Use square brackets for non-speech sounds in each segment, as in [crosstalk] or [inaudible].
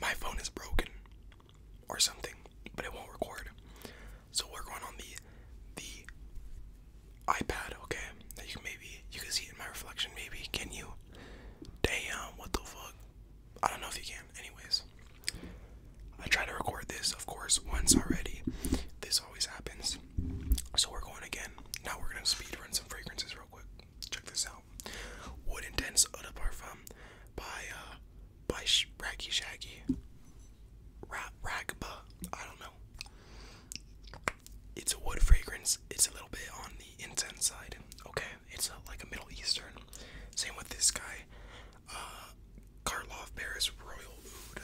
My phone is broken or something, but it won't record. So we're going on the the iPad, okay? That you can maybe you can see in my reflection, maybe. Can you? Damn, what the fuck? I don't know if you can. Anyways. I try to record this, of course, once already. This always happens. So we're going again. Now we're gonna speed run some fragrances real quick. Check this out. Wood Intense Eau de Parfum by uh, by Raggy Shaggy. Ra Ragba. I don't know. It's a wood fragrance. It's a little bit on the intense side. Okay, it's like a Middle Eastern. Same with this guy. Uh Karloff Royal Oud.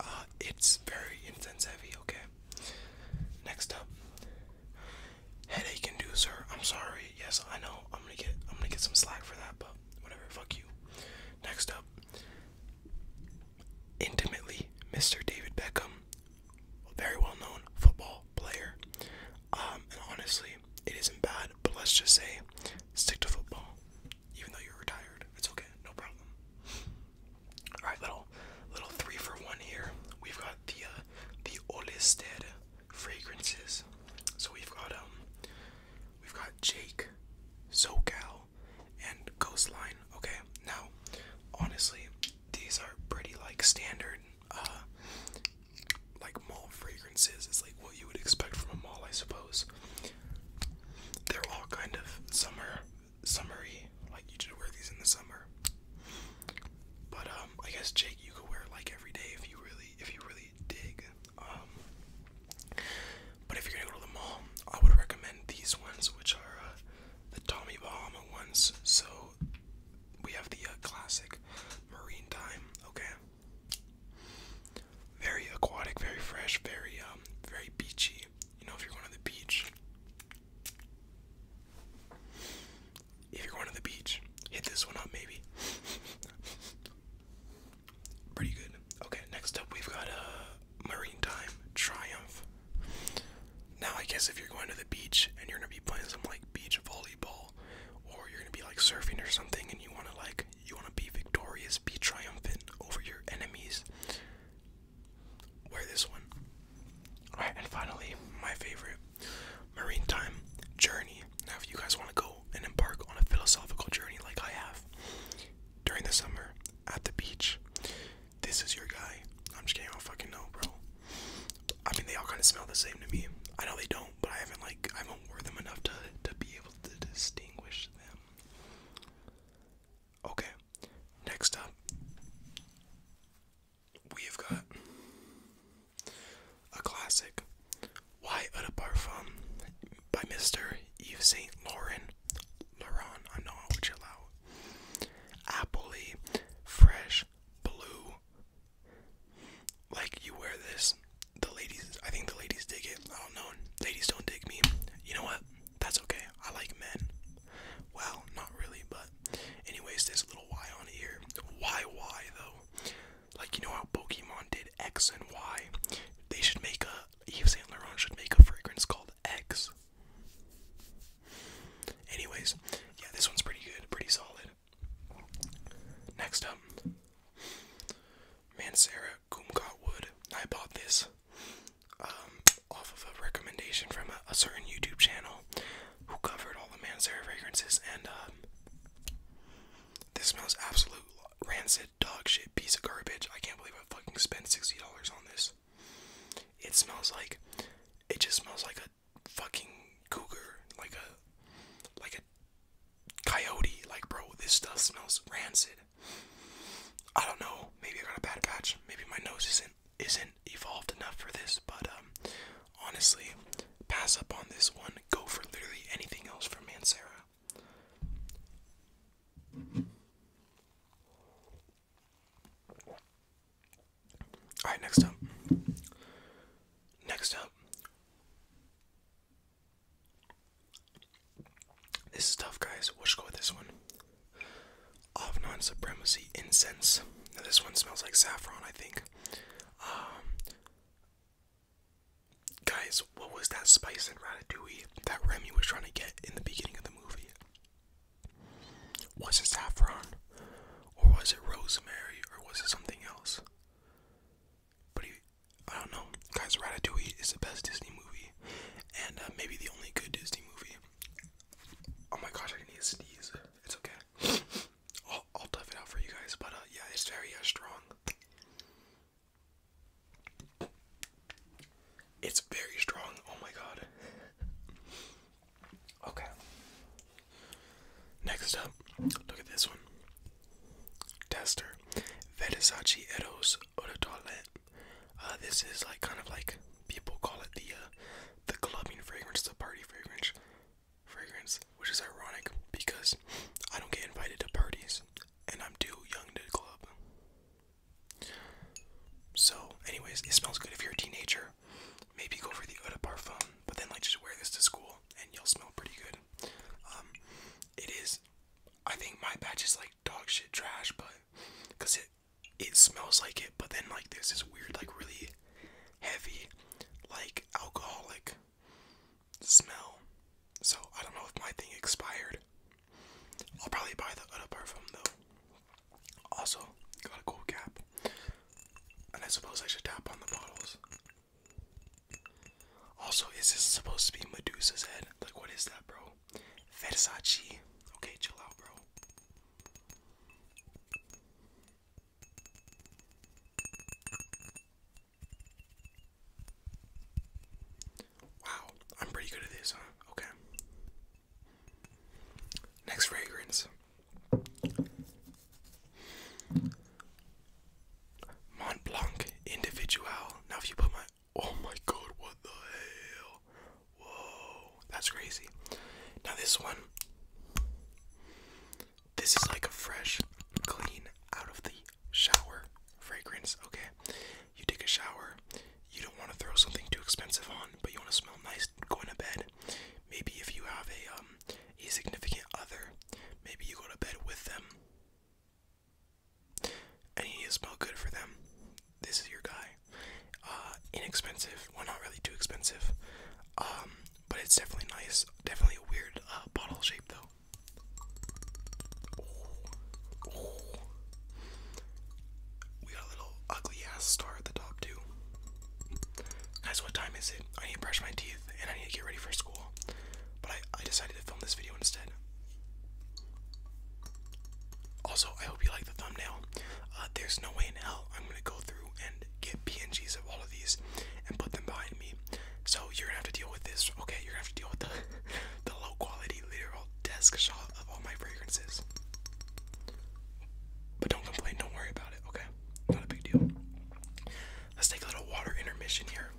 Uh, it's very intense, heavy, okay? Next up, headache inducer. I'm sorry. Yes, I know. I'm gonna get. I'm gonna get some slack for that, but whatever. Fuck you. Next up, intimately, Mr. David Beckham, a very well-known football player. Um, and honestly, it isn't bad. But let's just say, stick to football, even though you're retired. It's okay. No problem. All right, little little three for one here. We've got the uh, the Olested fragrances. So we've got um we've got Jake, Zocal, and Coastline. Okay, now honestly, these are pretty like standard uh like mall fragrances. It's like what you would expect from a mall, I suppose. They're all kind of summer summery, like you should wear these in the summer. But um, I guess Jake, you could wear it like every day if you really, if you really dig. Um, but if you're gonna go to the mall, I would recommend these ones, which are uh, the Tommy Bahama ones. So we have the uh, classic Marine Time. Okay. Very aquatic, very fresh, very um, very beachy. You know, if you're going to the beach, if you're going to the beach, hit this one up maybe. Pretty good. Okay, next up we've got a uh, Marine Time Triumph. Now I guess if you're going to the beach and you're gonna be playing some like beach volleyball, or you're gonna be like surfing or something, and you wanna like you wanna be victorious, be triumphant over your enemies, Wear this one. Alright, and finally, my favorite marine time journey. Now, if you guys want to go and embark on a philosophical journey like I have during the summer at the beach, this is your guy. I'm just kidding, I don't fucking know, bro. I mean, they all kind of smell the same to me. I know they don't, but I haven't like I haven't worn them enough to to be able to distinguish them. Okay, next up, we have got a classic, Why Eau de Parfum by Mr. Yves Saint Laurent. Laurent, I know I would chill out. Appley, fresh, blue. Like you wear this, the ladies, I think the ladies dig it. I don't know. Ladies don't dig me. You know what? That's okay. I like men. Well, not really, but anyways, there's a little Y on here. Y Y though? Like you know how Pokemon did X and Y? They should make a Eve Saint Laurent should make a fragrance called X. Anyways, yeah, this one's pretty good, pretty solid. Next up, Mancera Kumquat Wood. I bought this um, off of a recommendation from a certain YouTube channel who covered all the Mansara fragrances, and um, this smells absolute rancid dog shit piece of garbage. I can't believe I fucking spent sixty dollars on this. It smells like, it just smells like a fucking cougar, like a, like a coyote. Like bro, this stuff smells rancid. I don't know. Maybe I got a bad patch. Maybe my nose isn't isn't evolved enough for this, but um, honestly, pass up on this one. Go for literally anything else from Mancera. Alright, next up. Next up. This is tough, guys. we should go with this one of non supremacy incense. this one smells like saffron, I think. Um, guys, what was that spice in Ratatouille that Remy was trying to get in the beginning of the movie? Was it saffron? Or was it rosemary? Or was it something else? But he, I don't know. Guys, Ratatouille is the best Disney movie. And uh, maybe the only good Disney movie. Oh my gosh, I need to sneeze. It's okay. [laughs] I'll, I'll tough it out for you guys, but uh, yeah, it's very uh, strong. It's very strong. Oh my god. [laughs] Okay. Next up, look at this one. Tester. Versace Eros Eau de Toilette. Uh, this is like kind of like people call it the uh, the clubbing fragrance, the party fragrance, fragrance, which is ironic because I don't get invited to parties and I'm too young to club. So, anyways, it smells good if you're a teenager. Maybe go for the eau de parfum, but then like just wear this to school and you'll smell pretty good. Um, it is, I think my batch is like dog shit trash, but because it it smells like it, but then like there's this weird, like really heavy, like alcoholic smell. So I don't know if my thing expired. I'll probably buy the other perfume though. Also, got a cool cap. And I suppose I should tap on the bottles. Also, is this supposed to be Medusa's head? Like, what is that, bro? Versace. Okay, chill out, bro. Wow, I'm pretty good at this, huh? Okay. Next fragrance Mont Individual. Now, if you put my. Oh my god, what the hell? Whoa, that's crazy. Now this one, this is like a fresh, clean, out of the shower fragrance. Okay, you take a shower. You don't want to throw something too expensive on, but you want to smell nice going to bed. Maybe if you have a um a significant other, maybe you go to bed with them. And you need to smell good for them. This is your guy. Uh, inexpensive. Well, not really too expensive. Um, but it's definitely nice. Definitely a weird uh, bottle shape though. We got a little ugly ass star at the top too. Guys, what time is it? I need to brush my teeth and I need to get ready for school. But I, I decided to film this video instead. Also, I hope you like the thumbnail. Uh, there's no way in hell I'm gonna go through and get PNGs of all of these and put them behind me. So you're gonna have to deal with this. Okay, you're gonna have to deal with the [laughs] the low quality literal desk shot of all my fragrances. But don't complain, don't worry about it, okay? Not a big deal. Let's take a little water intermission here.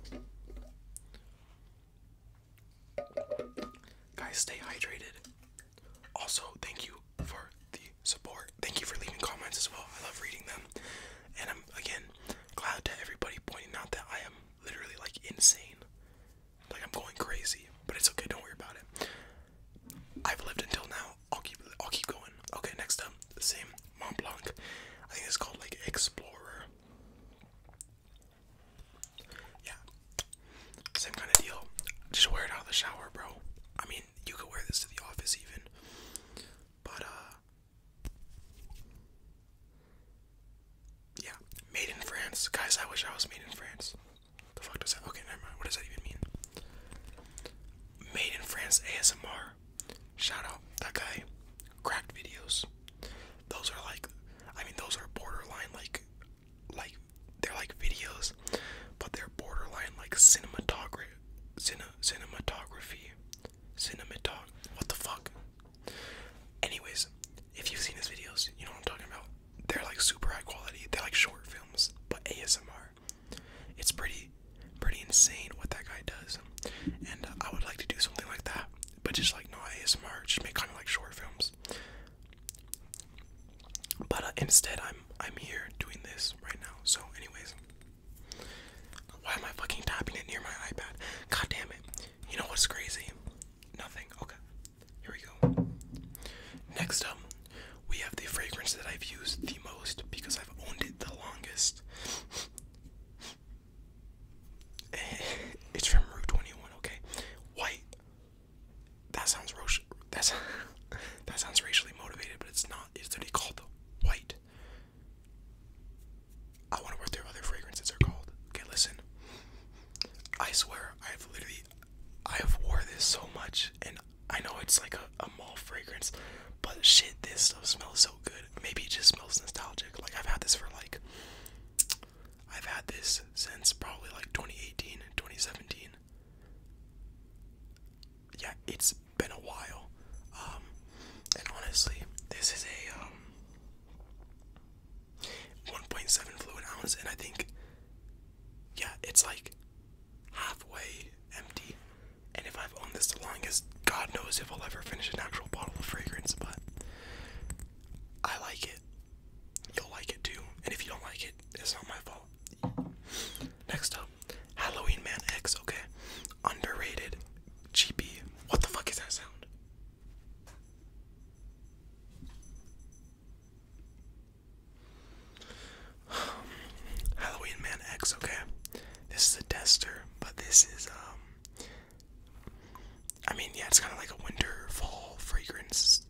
Guys, stay hydrated. Also, thank you for the support. Thank you for leaving comments as well. I love reading them. And I'm again glad to everybody pointing out that I am literally like insane. Like I'm going crazy. But it's okay, don't worry about it. I've lived until now. I'll keep I'll keep going. Okay, next up, the same Mont Blanc. I think it's called like Explorer. Yeah. Same kind of deal. Just wear it out of the shower, bro. I mean, you could wear this to the office even. But, uh. Yeah, made in France. Guys, I wish I was made in France. The fuck does that? Okay, never mind. What does that even mean? Made in France ASMR. Shout out that guy. Cracked videos. Those are like, I mean, those are borderline like like they're like videos, but they're borderline like cinematography, cine, cinematography, cinematog. What the fuck? Anyways, if you've seen his videos, you know what I'm talking about. They're like super high quality. They're like short films, but ASMR. It's pretty, pretty insane what that guy does, and I would like to do something like that, but just like not ASMR. Just make kind of like short films. But uh, instead, I'm I'm here doing this right now. So, anyways, why am I fucking tapping it near my iPad? God damn it! You know what's crazy? Nothing. Okay, here we go. Next up, we have the fragrance that I've used the most because I've owned it the longest. [laughs] it's from Rue 21. Okay, white that sounds that's [laughs] that sounds racially motivated, but it's not. It's literally called the white. I wonder what their other fragrances are called. Okay, listen. I swear I've literally I've worn this so much, and I know it's like a, a mall fragrance, but shit, this stuff smells so good. Maybe it just smells nostalgic. Like I've had this for like I've had this since probably like 2018, 2017 yeah, it's been a while. Um, and honestly, this is a um, 1.7 fluid ounce, and I think, yeah, it's like halfway empty. And if I've owned this the longest, God knows if I'll ever finish an actual bottle of fragrance, but I like it. You'll like it too. And if you don't like it, it's not my fault. Next up, Halloween Man X, okay. Underrated GP. What the fuck is that sound? Halloween Man X, okay. This is a tester, but this is um I mean yeah, it's kinda like a winter fall fragrance this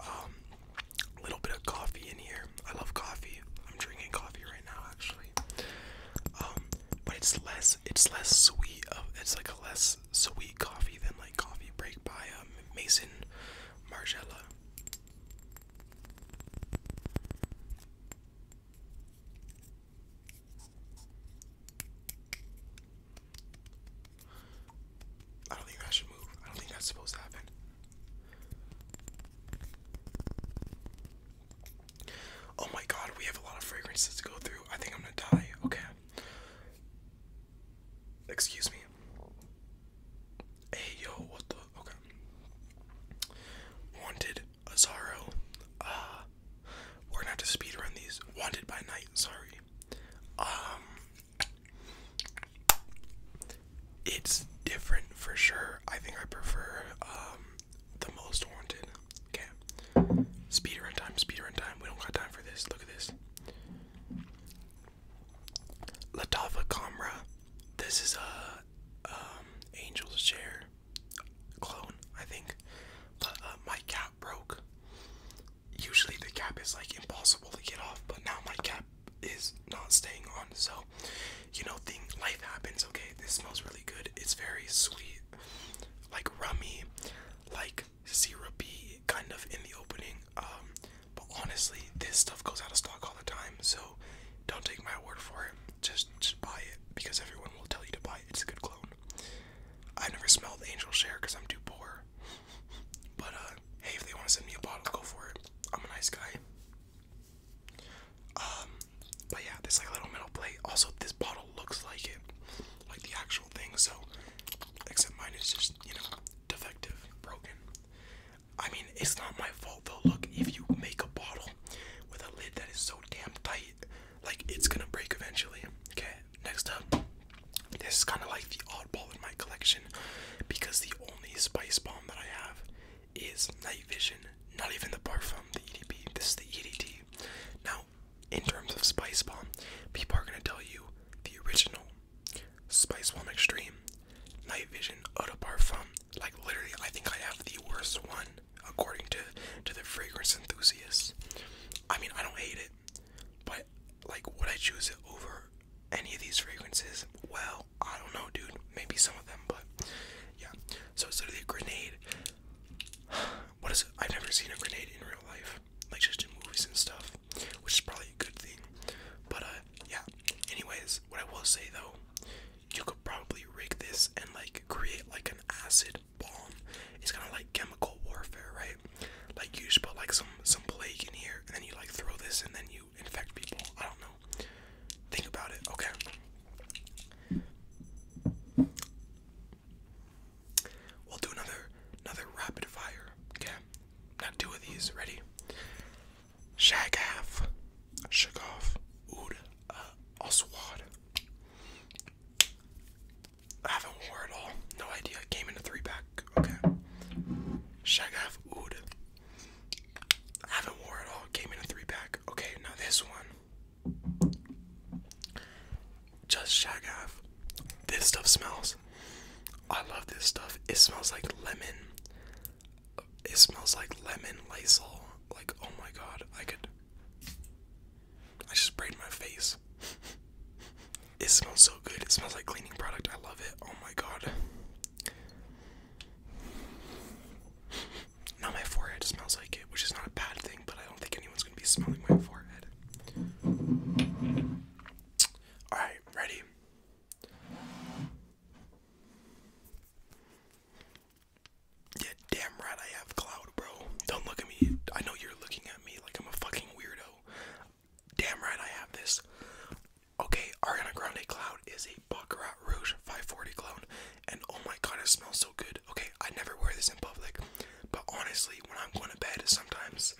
um, little bit of coffee in here. I love coffee. I'm drinking coffee right now, actually. Um, but it's less, it's less sweet. it's like a less sweet coffee than like coffee break by um, Mason Margiela. I don't think that should move. I don't think that's supposed to happen. Oh my god, we have a lot of fragrances to go through. I think I'm gonna die. Okay. Excuse me. Hey yo, what the? Okay. Wanted, Azaro. Uh, we're gonna have to speed run these. Wanted by night. Sorry. Um, it's different for sure. I think I prefer um, the most wanted. Okay. Speed run time, speed run time. We don't got time for this. Look at this. Latafa Kamra. This is a um, angel's chair clone, I think. Uh, my cap broke. Usually the cap is like impossible to get off, but now my cap is not staying on. So, you know, thing life happens. Okay, this smells really good. It's very sweet, like rummy, like syrupy, kind of in the opening. Um, but honestly, this stuff goes out of stock all the time. So, don't take my word for it. Just, just buy it because everyone will tell you to buy it. It's a good clone. I never smelled angel share because I'm too poor. But uh, hey, if they want to send me a bottle, go for it. I'm a nice guy. Um, but yeah, this like little metal plate. Also, this bottle looks like it, like the actual thing. So, except mine is just you know defective, broken. I mean, it's not my fault though. Look, if you make a bottle with a lid that is so damn tight, like it's gonna break eventually. Okay, next up, this is kind of like the oddball in my collection because the only spice bomb that I have is night vision. Not even the parfum, the EDP. This is the EDT. Now, in terms of spice bomb, people are gonna tell you the original spice bomb extreme, night vision, eau de parfum. Like literally, I think I have the worst one according to to the fragrance enthusiasts. I mean, I don't hate it, but like, would I choose it over any of these fragrances? Well. I don't know, dude. Maybe some of them, but yeah. So it's literally a grenade. [sighs] What is it? I've never seen a grenade in real life, like just in movies and stuff, which is probably a good thing. But uh, yeah. Anyways, what I will say though, you could probably rig this and like create like an acid bomb. It's kind of like chemical warfare, right? Like you just put like some some plague in here, and then you like throw this, and then you infect people. I don't know. Think about it, okay? We'll do another another rapid fire. Okay. Not two of these, ready? Shag half. Shag off. Uh, I haven't wore it all. No idea. came in a three pack. Okay. Shag half I haven't worn it all. came in a three pack. Okay, now this one. Just shag off. This stuff smells. I love this stuff. It smells like lemon. It smells like lemon Lysol. Like, oh my god, I could. I just sprayed my face. [laughs] It smells so good. It smells like cleaning product. I love it. Oh my god. Now my forehead smells like it, which is not a bad thing, but I don't think anyone's gonna be smelling my forehead. Alright, ready? Yeah, damn right I have cloud, bro. Don't look at me. I know you're looking at me like I'm a fucking weirdo. Damn right I have this. Okay, Ariana Grande Cloud is a Baccarat Rouge 540 clone, and oh my god, it smells so good. Okay, I never wear this in public, but honestly, when I'm going to bed, sometimes,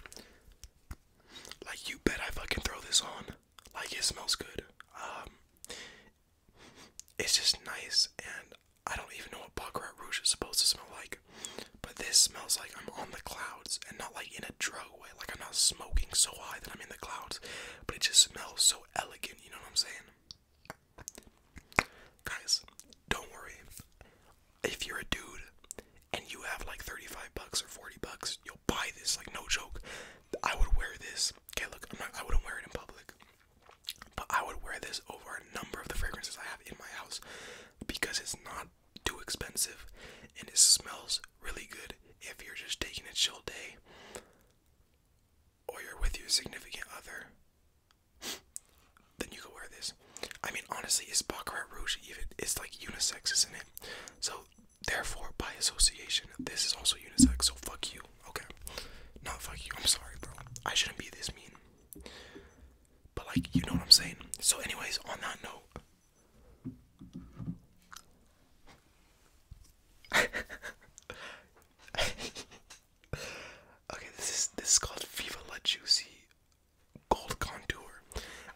like, you bet I fucking throw this on. Like, it smells good. Um, it's just nice, and I don't even know what Baccarat Rouge is supposed to smell like, but this smells like I'm on the clouds and not like in a drug like I'm not smoking so high that I'm in the clouds, but it just smells so elegant. You know what I'm saying? Guys, don't worry. If you're a dude and you have like 35 bucks or 40 bucks, you'll buy this. Like no joke. I would wear this. Okay, look, I'm not, I wouldn't wear it in public, but I would wear this over a number of the fragrances I have in my house because it's not too expensive and it smells really good if you're just taking a chill day or you're with your significant other. Then you could wear this. I mean, honestly, it's Baccarat Rouge. Even it's like unisex, isn't it? So, therefore, by association, this is also unisex. So fuck you. Okay, not fuck you. I'm sorry, bro. I shouldn't be this mean. But like, you know what I'm saying. So, anyways, on that note, [laughs] okay, this is this is called Viva La Juicy Gold Contour.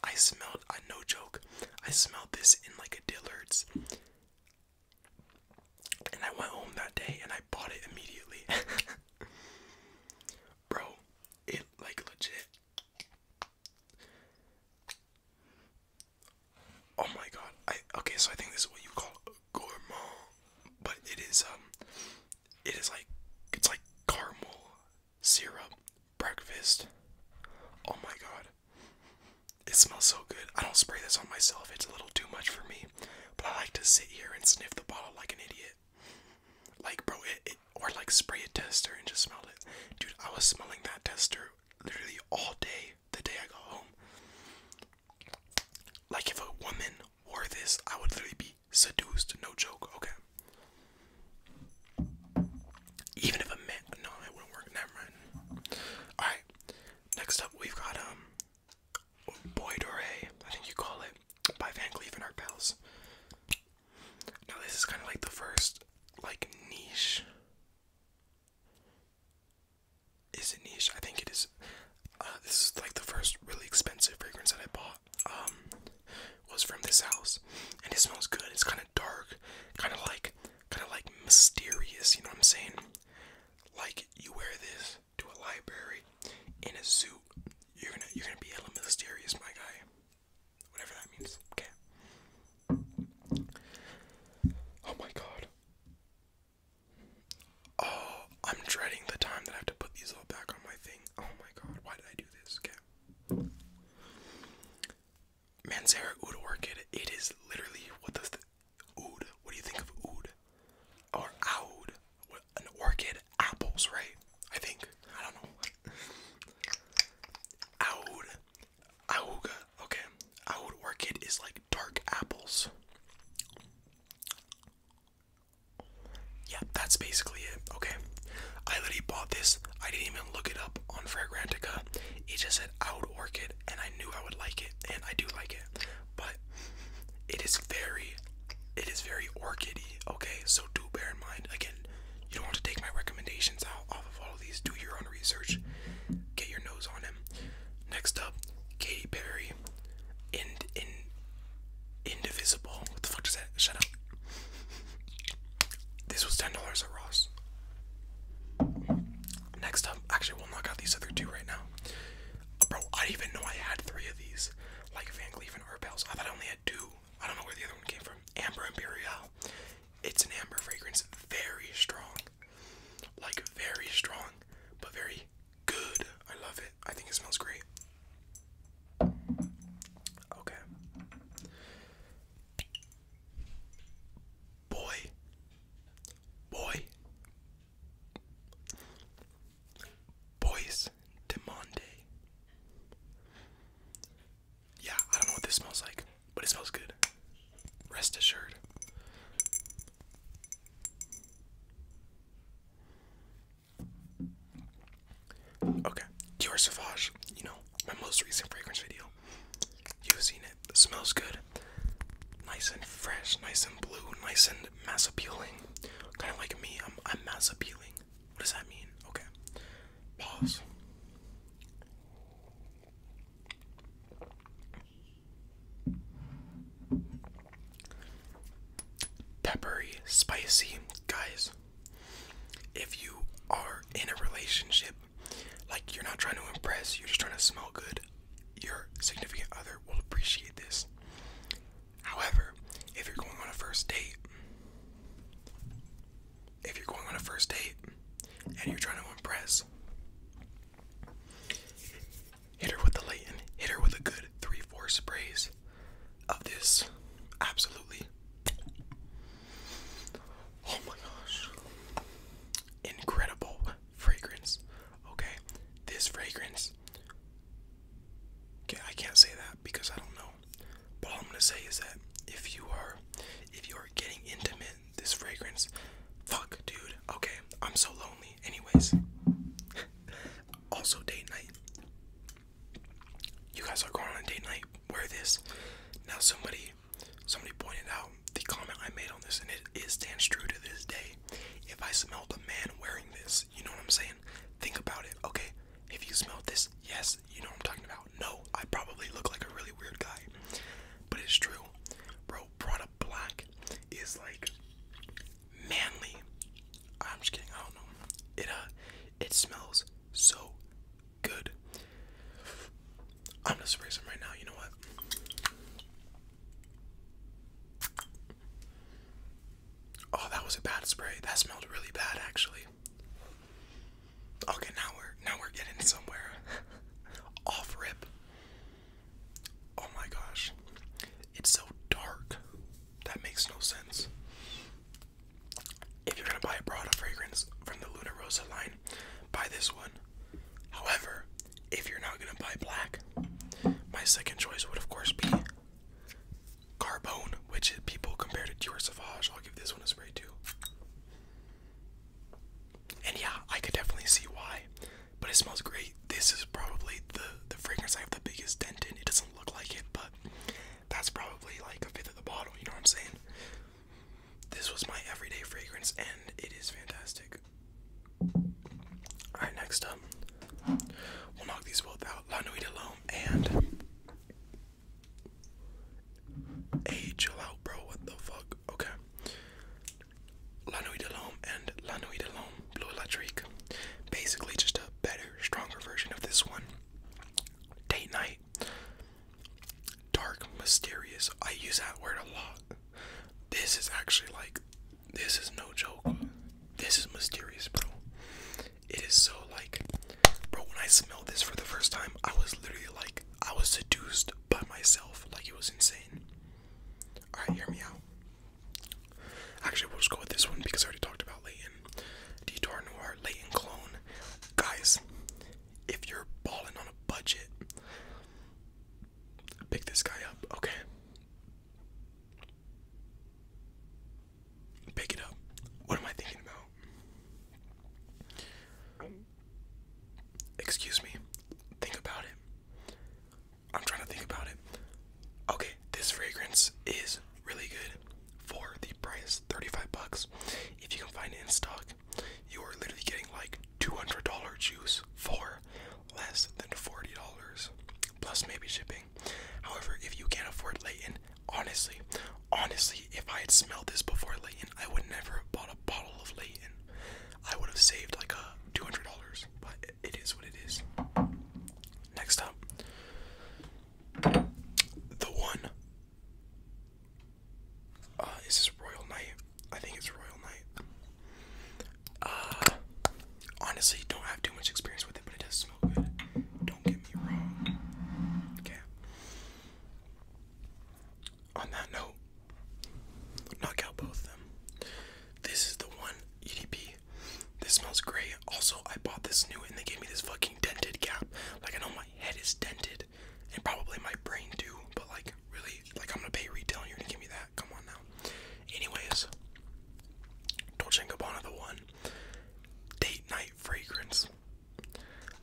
I smelled I uh, no joke. I smelled this in like a Dillard's. And I went home that day and I bought it immediately. [laughs] Bro, it like legit Oh my god. I okay, so I think this is what you call a gourmand, but it is um it is like it's like caramel syrup breakfast. Oh my god. It smells so good. I don't spray this on myself. It's a little too much for me, but I like to sit here and sniff the bottle like an idiot. Like bro, it, or like spray a tester and just smell it. Dude, I was smelling that tester literally all day the day I got home. Like if a woman wore this, I would literally be seduced, no joke, okay. Even if a man no, it wouldn't work, never Alright. Next up we've got um Boy Doré, I think you call it, by Van Cleef and Arpels. Now this is kind of like the first like niche. Is it niche? I think it is. Uh, this is like the first really expensive fragrance that I bought. Um, was from this house, and it smells good. It's kind of dark, kind of like, kind of like mysterious. You know what I'm saying? Like you wear this to a library in a suit, you're gonna you're gonna be a little mysterious, my guy. Whatever that means. Okay. Oh my god. Oh, I'm dreading the time that I have to put these all back on my thing. Oh my god, why did I do this? Okay. Mansara Orchid, it is literally what does the Oud? What do you think of Oud? Or Oud? an orchid? Apples, right? I think. I don't know. Oud Auga, okay. Out orchid is like dark apples. Yeah, that's basically it. Okay. I literally bought this. I didn't even look it up on Fragrantica. It just said out orchid and I knew I would like it and I do like it. But it is very it is very orchidy, okay? So do bear in mind again, you don't want to take my recommendations out off of all of these. Do your own research. Get your nose on him. Next up, Katy Perry. In in indivisible. What the fuck is that? Shut up. This was ten dollars at Ross. Next up, actually we'll knock out these other two right now. Bro, I didn't even know I had three of these. Like Van Cleef and Art I thought I only had two. I don't know where the other one came from. Amber Imperial it's an amber fragrance, very strong. Like very strong, but very good. I love it. I think it smells great. Okay. Boy. Boy. Boys de yeah, I don't know what this smells like, but it smells good. Rest assured. Okay, Dior Sauvage, you know, my most recent fragrance video. You've seen it. it. Smells good. Nice and fresh, nice and blue, nice and mass appealing. Kind of like me, I'm, I'm mass appealing. What does that mean? Okay. Pause. Peppery, spicy, guys. If you are in a relationship, like you're not trying to impress, you're just trying to smell good, your significant other will appreciate this. However, if you're going on a first date, if you're going on a first date and you're trying to impress, hit her with the Layton, hit her with a good three, four sprays of this. Absolutely. Oh my gosh. Incredible fragrance. Okay, this fragrance. Okay, I can't say that because I don't know. But all I'm gonna say is that if you are if you are getting intimate, this fragrance, fuck dude, okay, I'm so lonely. Anyways. [laughs] also date night. You guys are going on date night, wear this. Now somebody somebody pointed out the comment I made on this and it stands true to this day. If I smell the man wearing this, you know what I'm saying? Think about it, okay? If you smell this, yes, you know what I'm talking about. No, I probably look like a really weird guy, but it's true. Bro, Prada Black is like manly. I'm just kidding. I don't know. It uh, it smells so good. I'm just spraying right now. You know what? Oh, that was a bad spray. That smelled really bad, actually. Okay, now we're now we're getting somewhere. [laughs] Off rip. Oh my gosh. It's so dark. That makes no sense. If you're gonna buy a Prada fragrance from the Luna Rosa line, buy this one. However, if you're not gonna buy black, my second choice would of course be Carbone, which people compare to Dior Sauvage. I'll give this one a spray too. And yeah, I could definitely see why. But it smells great. This is probably the the fragrance I have the biggest dent in. It doesn't look like it, but that's probably like a fifth of the bottle, you know what I'm saying? This was my everyday fragrance and it is fantastic. Alright, next up, we'll knock these both out, La Nuit and Hey, out, bro. What the fuck? Okay. La Nuit de L'Homme and La Nuit de L'Homme Blue Electric. Basically, just a better, stronger version of this one. Date night. Dark, mysterious. I use that word a lot. This is actually like, this is no joke. This is mysterious, bro. It is so like Bro, when I smelled this for the first time, I was literally like, I was seduced by myself. Like, it was insane. Alright, hear me out. Actually, we'll just go with this one because I already talked about Leighton. Detour Noir, Leighton Clone. Guys, if you're balling on a budget, pick this guy up, okay? Pick it up. What am I thinking about? Excuse me. Think about it. I'm trying to think about it. Okay, this fragrance is really good for the price 35 bucks. If you can find it in stock, you are literally getting like $200 juice for less than $40 plus maybe shipping. However, if you can't afford Layton, Honestly, honestly, if I had smelled this before Layton, I would never have bought a bottle of Layton. I would have saved like a two hundred dollars, but it is what it is. Next up, the one. Uh, is this Royal Knight? I think it's Royal Knight. Uh, honestly, don't have too much experience with it, but it does smell good. Don't get me wrong. Okay on that note, knock out both of them. This is the one EDP. This smells great. Also, I bought this new and they gave me this fucking dented cap. Like, I know my head is dented and probably my brain too, but like, really, like, I'm gonna pay retail and you're gonna give me that. Come on now. Anyways, Dolce & Gabbana, the one date night fragrance.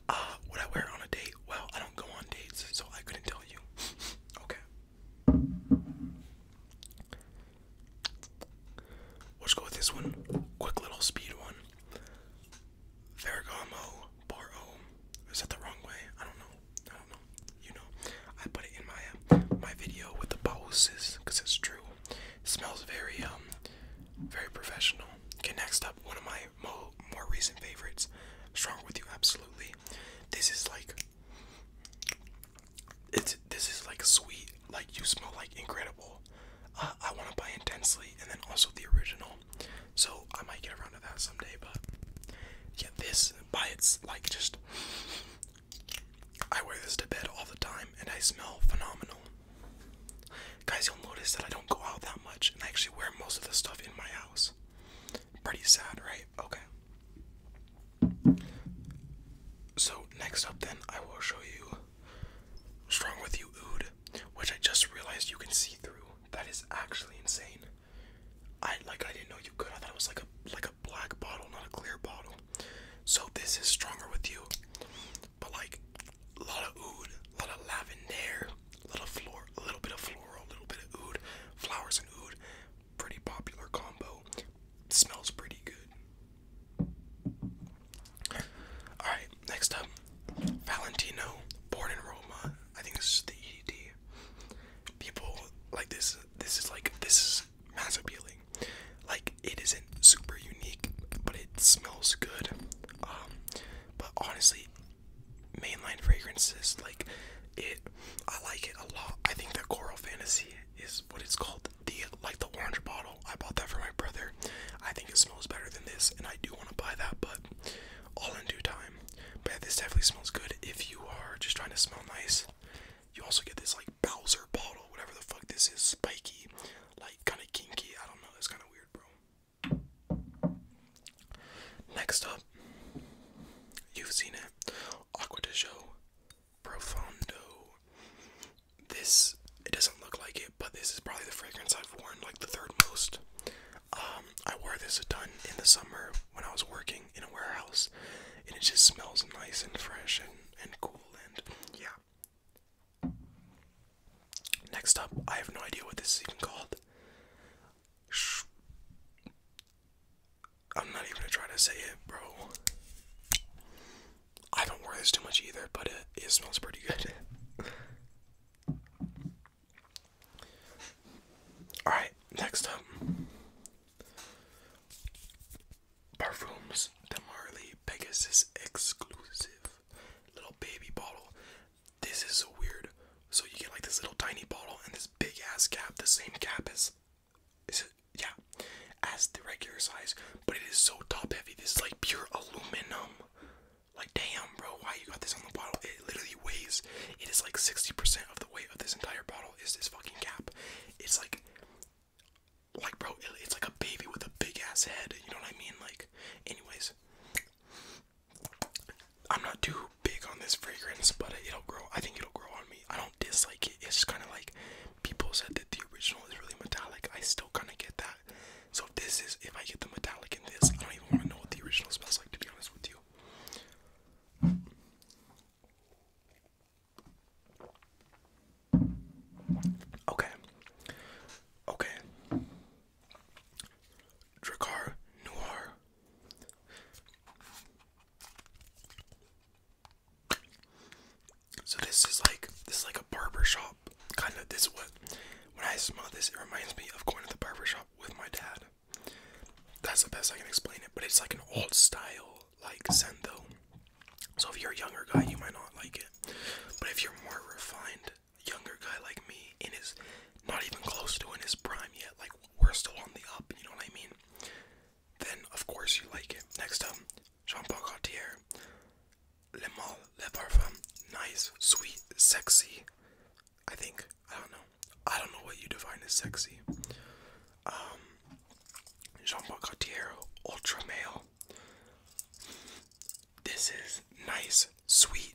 Uh, would I wear on a date? Well, I don't go on dates, so I couldn't tell you. [laughs] okay. Let's go with this one. Quick little speed one. Ferragamo Boro. Is that the wrong way? I don't know. I don't know. You know. I put it in my uh, my video with the bosses because it's true. smells very um very professional. Okay, next up, one of my mo more recent favorites. Strong with you, absolutely. This is like it's this is like sweet, like you smell like incredible. I want to buy intensely, and then also the original. So I might get around to that someday, but yeah, this by its like just I wear this to bed all the time, and I smell phenomenal. Guys, you'll notice that I don't go out that much and I actually wear most of the stuff in my house. Pretty sad, right? Okay. So, next up, then, I will show you Strong With You Oud, which I just realized you can see through. That is actually insane. I like I didn't know you could. I thought it was like a like a black bottle, not a clear bottle. So this is stronger with you but like a lot of oud, a lot of lavender, a little floor, a little bit of floral, a little bit of oud, flowers and oud. Pretty popular combo. Smells pretty good. All right, next up, Valentino, born in Roma. I think this is the EDT. People like this. This is like this is mass appealing. Like it isn't super unique, but it smells good. Um, but honestly, mainline fragrances like it, I like it a lot. I think the Coral Fantasy is what it's called. The like the orange bottle. I bought that for my brother. I think it smells better than this, and I do want to buy that, but all in due time. But this definitely smells good if you are just trying to smell nice. You also get this like Bowser bottle, whatever the fuck this is, spiky, like kind of kinky. I don't know. That's kind of weird, bro. Next up, you've seen Aqua de Profondo. This, it doesn't look like it, but this is probably the fragrance I've worn like the third most. Um, I wore this a ton in the summer when I was working in a warehouse, and it just smells nice and fresh and, and cool. And yeah, Next up, I have no idea what this is even called. Shh. I'm not even gonna try to say it, bro. I don't worry this too much either, but it, it smells pretty good. [laughs] Alright, next up Parfums de Pegasus exclusive little baby bottle. This is so weird. So you get like this little tiny bottle and this big ass cap, the same cap as yeah, as the regular size, but it is so top heavy. This is like pure aluminum. Like damn, bro, why you got this on the bottle? It literally weighs. It is like 60% of the weight of this entire bottle is this fucking cap. It's like like bro, it's like a baby with a big ass head. You know what I mean? Like anyways, I'm not too big on this fragrance, but it'll grow. I think it'll grow on me. I don't dislike it. It's just kind of like people said that the original is really metallic. I still kind of get that. So if this is, if I get the metallic in this, I don't even want to know what the original smells like. To be honest with you. Okay. Okay. Dracar Noir. So this is like this is like a barber shop kind of. This what when I smell this, it reminds me of going to the barber shop with my dad. That's the best I can explain it, but it's like an old style like scent though. So if you're a younger guy, you might not like it, but if you're more refined, younger guy like me in his not even close to in his prime yet, like we're still on the up, you know what I mean? Then of course you like it. Next up, Jean Paul Gaultier. Le Mal, Le Parfum. Nice, sweet, sexy. I think. I don't know. I don't know what you define as sexy. Um Jean Paul Gaultier, ultra male this is nice, sweet,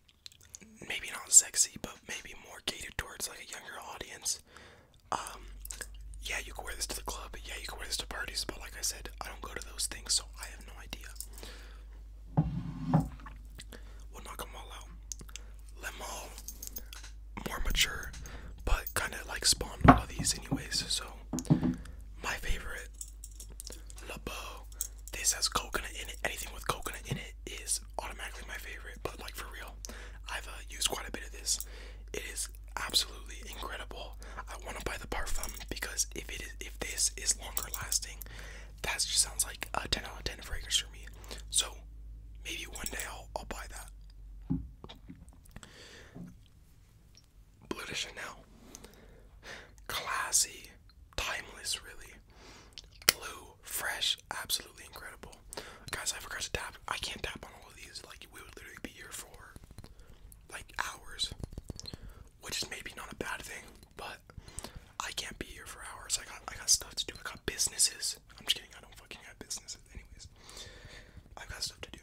maybe not sexy, but maybe more catered towards like a younger audience. Um, yeah, you can wear this to the club. Yeah, you can wear this to parties. But like I said, I don't go to those things, so I have no idea. We'll knock them all out. Let all more mature, but kind of like spawned all of these anyways. So my favorite Le Beau. This has coconut in it. Anything with coconut in it is automatically my favorite. But like for real, I've uh, used quite a bit of this. It is absolutely incredible. I want to buy the parfum because if it is, if this is longer lasting, that just sounds like a 10 out of 10 fragrance for me. So maybe one day I'll, I'll buy that. Bleu de Chanel. Classy, timeless, really. Blue, fresh, absolutely incredible. Guys, I forgot to tap. I can't tap on all of these. Like we would literally be here for like hours, which is maybe not a bad thing, but I can't be here for hours. I got I got stuff to do. I got businesses. I'm just kidding. I don't fucking have businesses. Anyways, I've got stuff to do,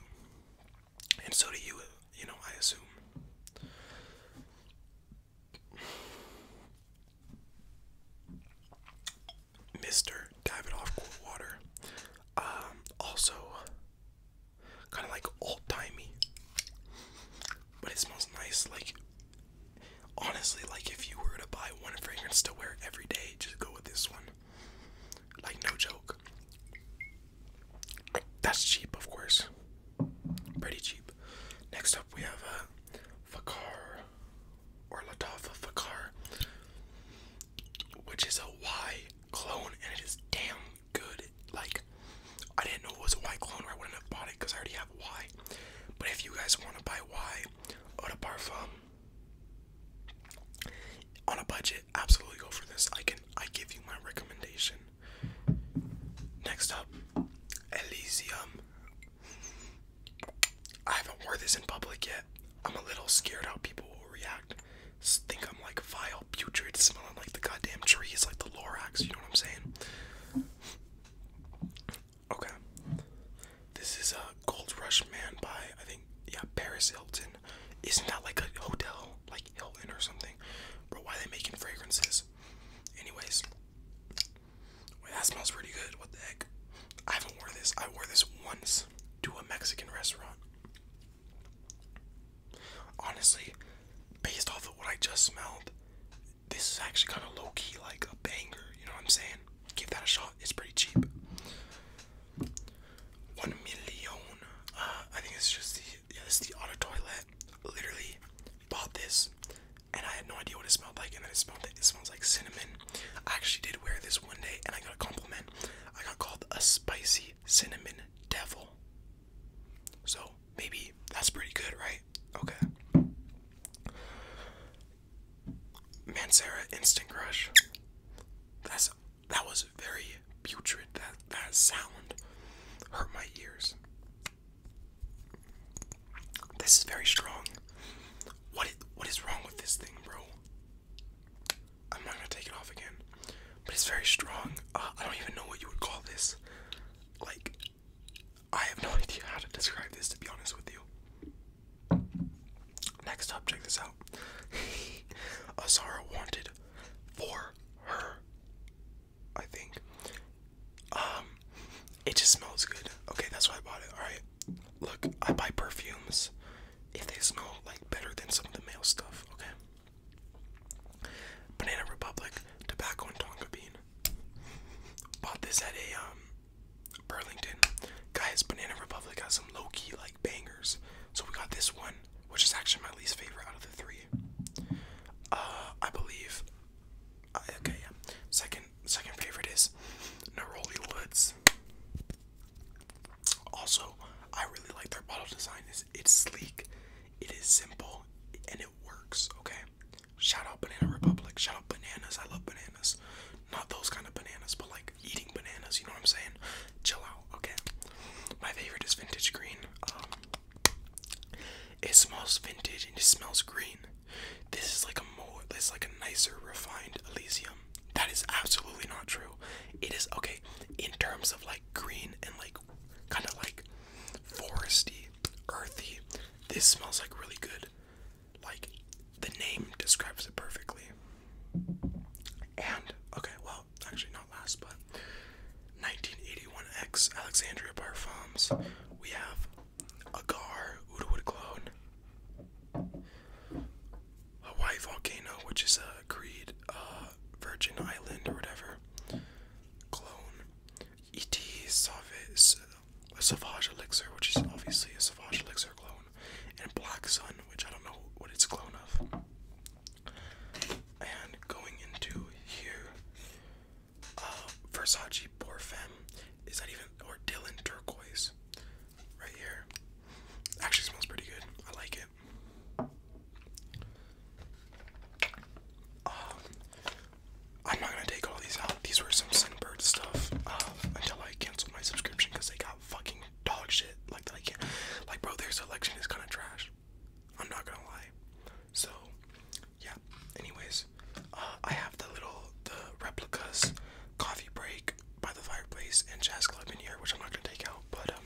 and so do you. You know, I assume. Mr. Off Cool Water. Um, also, kind of like old timey, but it smells nice. Like, honestly, like if you were to buy one fragrance to wear every day, just go with this one. Like, no joke. That's cheap, of course. Pretty cheap. Next up, we have a uh, Fakar or Latafa Fakar, which is a Y clone, and it is damn good. Like, I didn't know it was a Y clone, or I wouldn't have bought it because I already have Y. But if you guys want to buy Y on a parfum on a budget, absolutely go for this. I can I give you my recommendation. Next up, Elysium. I haven't worn this in public yet. I'm a little scared how people will react. Think I'm like vile, putrid, smelling like the goddamn trees, like the Lorax. You know what I'm saying? Okay. This is a uh, Gold Rush Man by I think yeah Paris Hilton. Isn't that like a hotel? like Hilton or something. but why are they making fragrances? Anyways, that smells pretty good. What the heck? I haven't worn this. I wore this once to a Mexican restaurant. Honestly, based off of what I just smelled, this is actually kind of low key like a banger. You know what I'm saying? Give that a shot. It's pretty cheap. One million. Uh, I think it's just the yeah, it's the auto toilet literally bought this and I had no idea what it smelled like and then it smelled it, it smells like cinnamon. I actually did wear this one day and I got a compliment. I got called a spicy cinnamon devil. So maybe that's pretty good, right? Okay. Man, Mancera Instant Crush. That's that was very putrid. That that sound hurt my ears. This is very strong. What is, what is wrong with this thing, bro? I'm not gonna take it off again. But it's very strong. Uh, I don't even know what you would call this. Like, I have no [laughs] idea how to describe this, to be honest with you. Next up, check this out. [laughs] Azara wanted for her I think. Um, it just smells good. Okay, that's why I bought it. All right, look, I buy perfumes if they smell like better than some of the male stuff. Okay. Banana Republic tobacco and tonka bean. Bought this at a um Burlington. Guys, Banana Republic has some low key like bangers. So we got this one, which is actually my least favorite out of the three. Uh, I believe. okay, yeah. Second, second favorite is Neroli Woods. Also, I really like their bottle design. is it's sleek, it is simple, and it works. Okay. Shout out Banana Republic. Shout out bananas. I love bananas. Not those kind of bananas, but like eating bananas. You know what I'm saying? Chill out. Okay. My favorite is Vintage Green. Um, it smells vintage and it smells green. This is like a more, it's like a nicer, refined Elysium. That is absolutely not true. It is okay in terms of like green and like kind of like foresty, earthy. This smells like really good. Like the name describes it perfectly. And okay, well, actually not last, but 1981X Alexandria Parfums. We have Agar Oudwood Clone. Hawaii Volcano, which is a Creed uh, Virgin Island or whatever. Clone. E.T. Savage, Savage Elixir, which is obviously a Savage Elixir clone. And Black Sun, which I don't know what it's a clone of. And going into here, uh, Versace Porfem. Is that even or Dylan Turquoise? Right here. Actually smells pretty good. I like it. Um, I'm not gonna take all these out. These were some Sinbird stuff uh, until I canceled my subscription because they got fucking dog shit. Like that I can't. Like bro, their selection is kind of trash. I'm not gonna lie. So, yeah. Anyways, uh, I have the little the replicas coffee break by the fireplace and jazz club in here, which I'm not gonna take out. But um,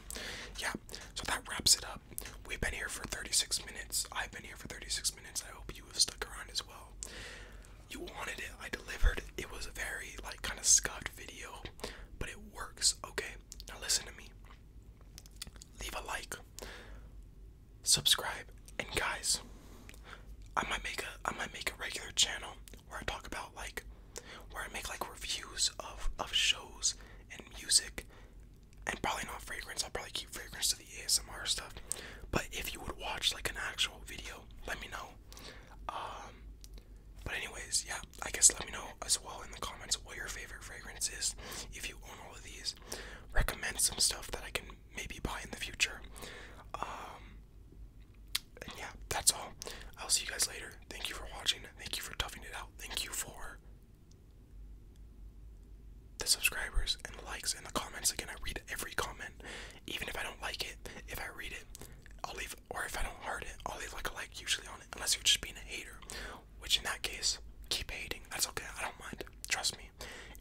yeah. So that wraps it up. We've been here for 36 minutes. I've been here for 36 minutes. I hope you have stuck around as well. You wanted it. I delivered. It was a very like kind of scuffed video, but it works. Okay. Now listen to me leave a like, subscribe, and guys, I might make a I might make a regular channel where I talk about like where I make like reviews of of shows and music, and probably not fragrance. I'll probably keep fragrance to the ASMR stuff. But if you would watch like an actual video, let me know. Um, but anyways, yeah, I guess let me know as well in the comments what your favorite fragrance is. If you own all of these, recommend some stuff that I can maybe buy in the future. Um, and yeah, that's all. I'll see you guys later. Thank you for watching. Thank you for toughing it out. Thank you for the subscribers and the likes and the comments. Again, I read every comment, even if I don't like it. If I read it, I'll leave, or if I don't heart it, I'll leave like a like usually on it, unless you're just being a hater which in that case, keep hating. That's okay. I don't mind. Trust me.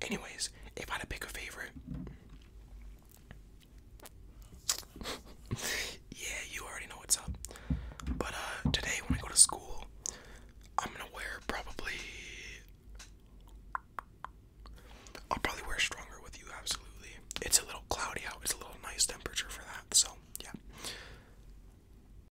Anyways, if I had to pick a favorite. [laughs] yeah, you already know what's up. But uh today when I go to school, I'm gonna wear probably I'll probably wear stronger with you, absolutely. It's a little cloudy out, it's a little nice temperature for that, so yeah.